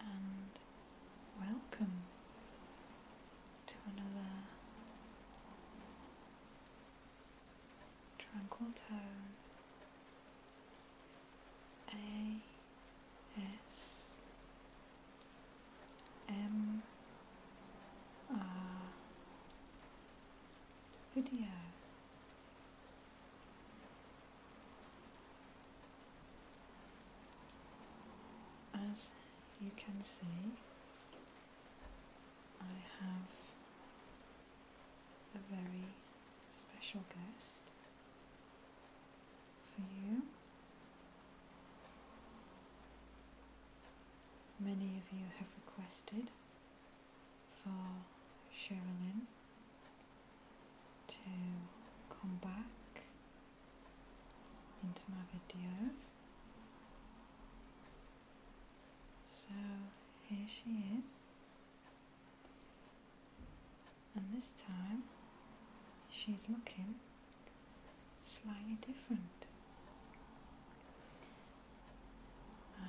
and welcome to another tranquil tone A S M R video. As you can see, I have a very special guest for you. Many of you have requested for Sherilyn to come back into my videos. So here she is, and this time she's looking slightly different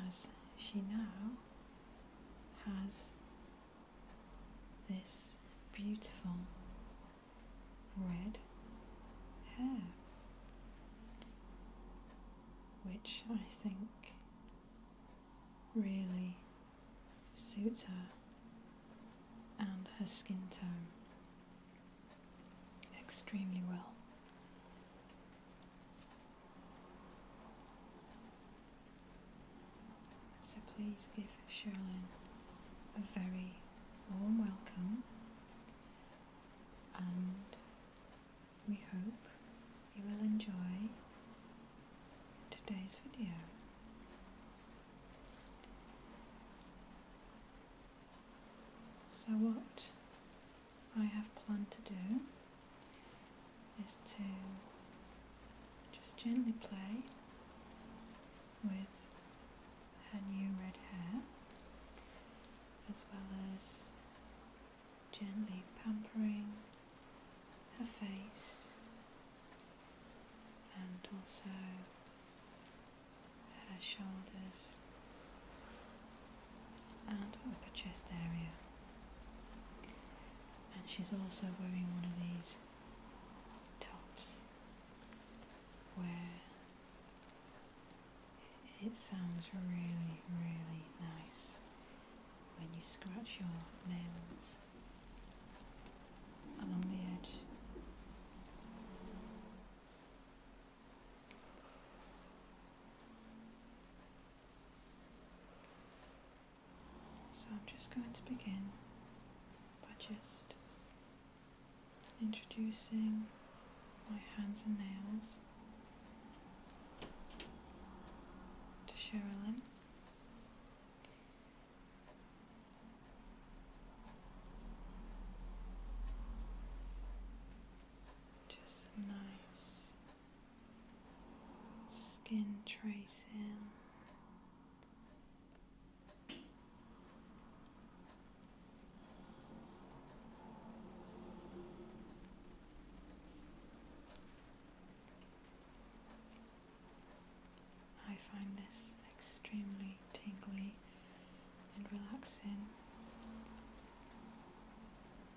as she now has this beautiful red hair, which I think really suits her and her skin tone extremely well. So please give Sherilyn a very warm welcome and we hope you will enjoy today's video. So what I have planned to do is to just gently play with her new red hair as well as gently pampering her face and also her shoulders and upper chest area. And she's also wearing one of these tops where it sounds really, really nice when you scratch your nails along the edge. So I'm just going to begin by just introducing my hands and nails to Sherilyn just nice skin tracing. I find this extremely tingly and relaxing.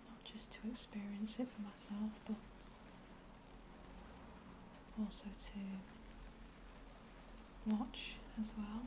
Not just to experience it for myself, but also to watch as well.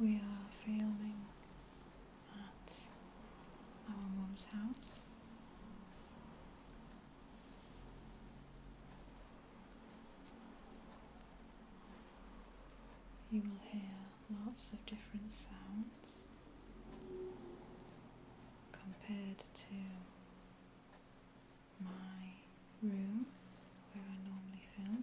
We are failing at our mom's house. You will hear lots of different sounds compared to my room where I normally film.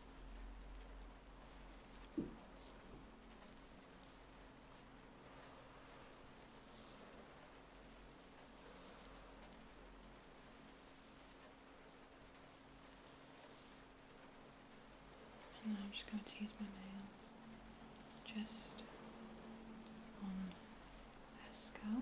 I'm just going to use my nails just on her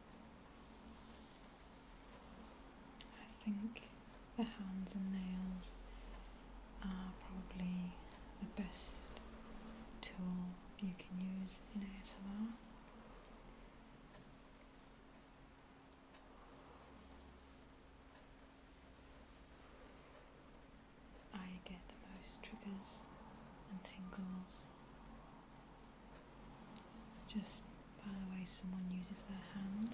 I think the hands and nails are probably the best tool you can use in ASMR. I get the most triggers and tingles just by the way someone uses their hands.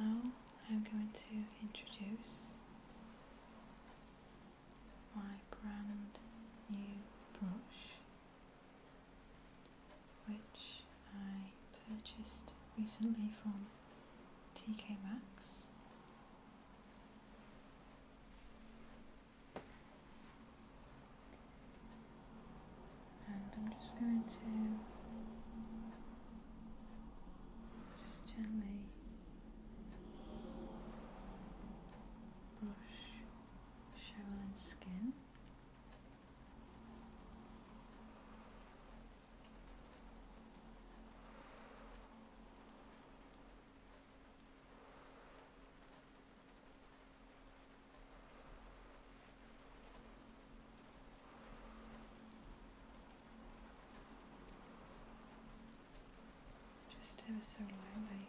Now I'm going to introduce my brand new brush which I purchased recently from TK Maxx. And I'm just going to just gently brush Sherilyn's skin. Just ever so lightly.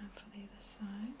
And now for the other side.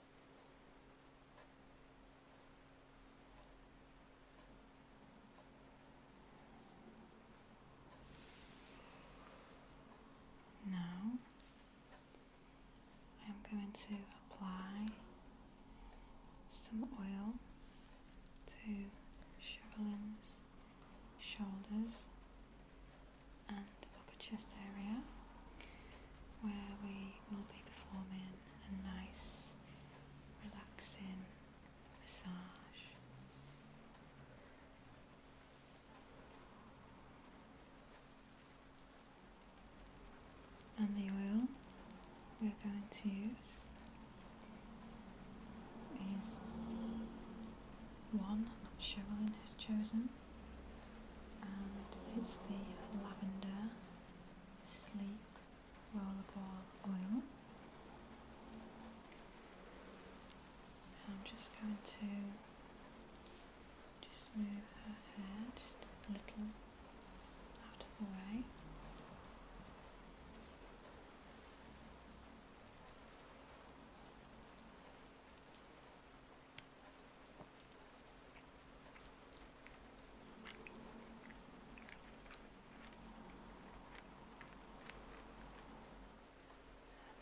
Now I'm going to apply some oil to Chevalin's shoulders and and upper chest area where we will be performing a nice relaxing massage. And the oil we're going to use is one that Cherilyn has chosen and it's the lavender sleep rollerball oil. I'm just going to just move her hair just a little out of the way. I'm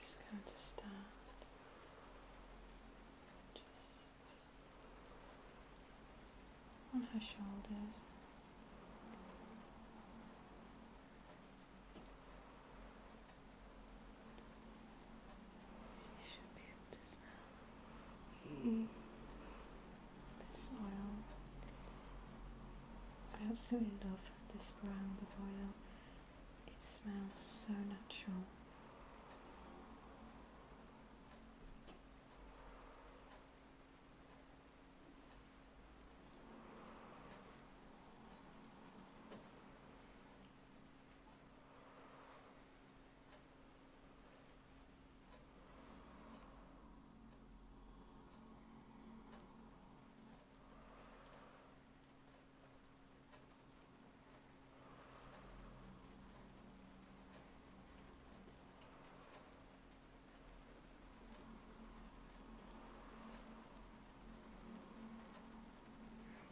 just going to start just on her shoulders. You mm. should I absolutely love this brand of oil. It smells so natural.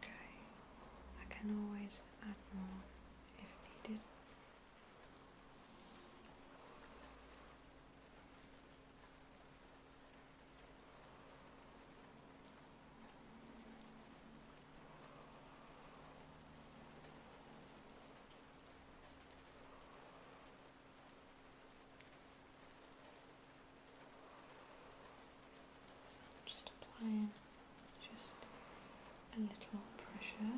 Okay, I can always add more if needed just applying just a little pressure.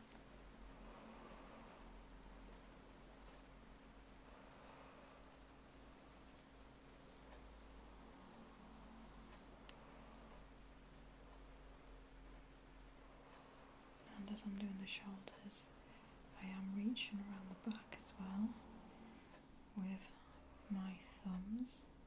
And as I'm doing the shoulders, I am reaching around the back as well with my thumbs.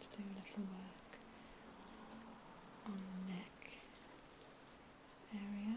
Just going to do a little work on neck area.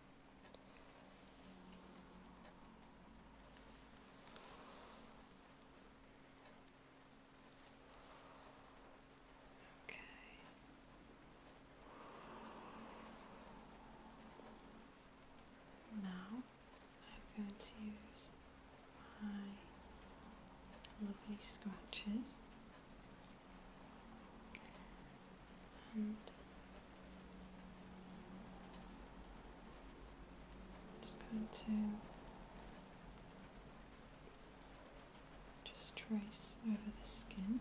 Okay. Now I'm going to use my lovely scratches and just going to just trace over the skin.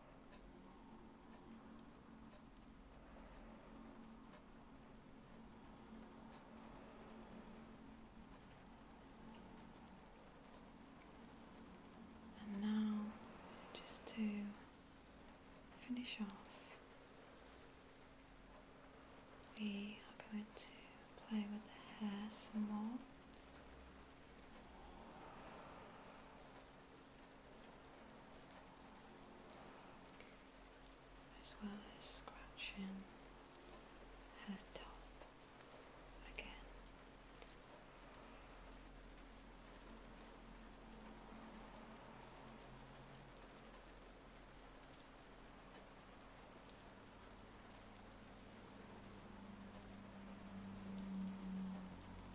And now, just to finish off, we are going to play with the hair some more as well as scratching her top again.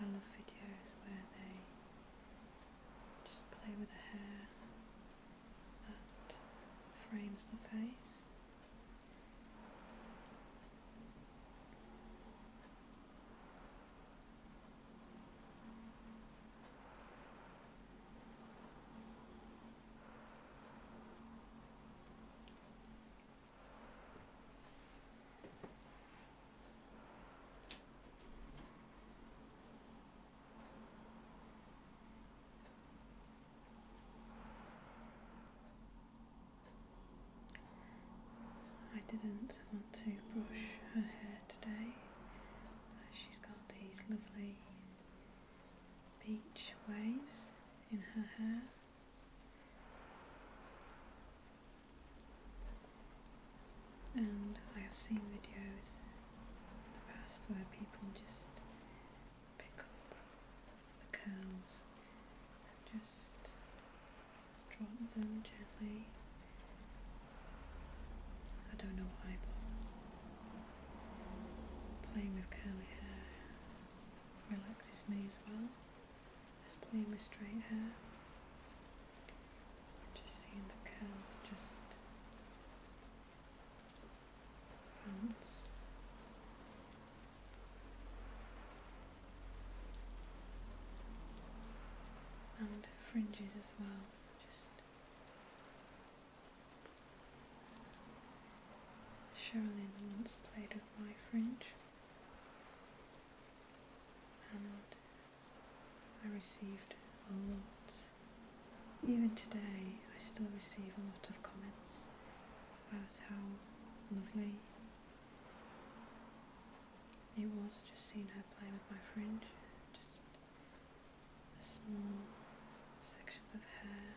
I love videos where they just play with the hair that frames the face. I didn't want to brush her hair today. She's got these lovely beach waves in her hair. And I have seen videos in the past where people just pick up the curls and just drop them gently. I don't know why, but playing with curly hair relaxes me as well. Just playing with straight hair. Just seeing the curls just bounce. And fringes as well. Just Sherilyn once played with my fringe and I received a lot. Even today, I still receive a lot of comments about how lovely it was just seeing her play with my fringe, just the small sections of hair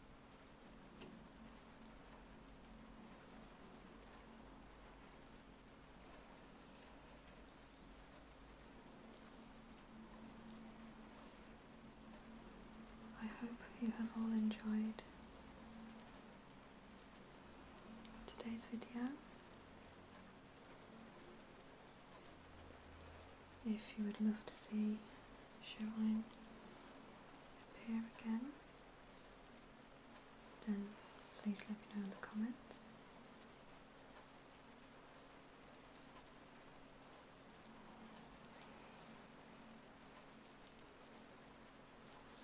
I hope you have all enjoyed today's video if you would love to see Cheryline appear again then please let me know in the comments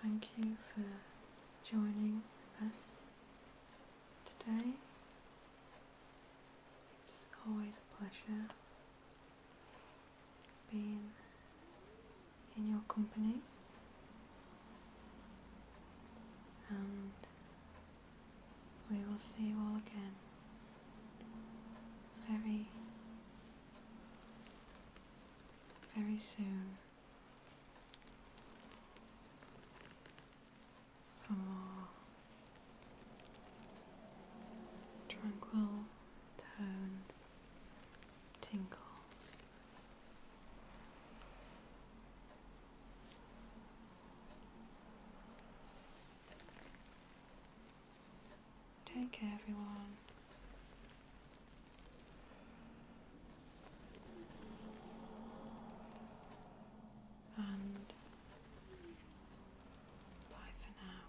Thank you for joining us today. It's always a pleasure being in your company and we will see you all again very very soon tranquil tones, tinkles. Take care, everyone and bye for now.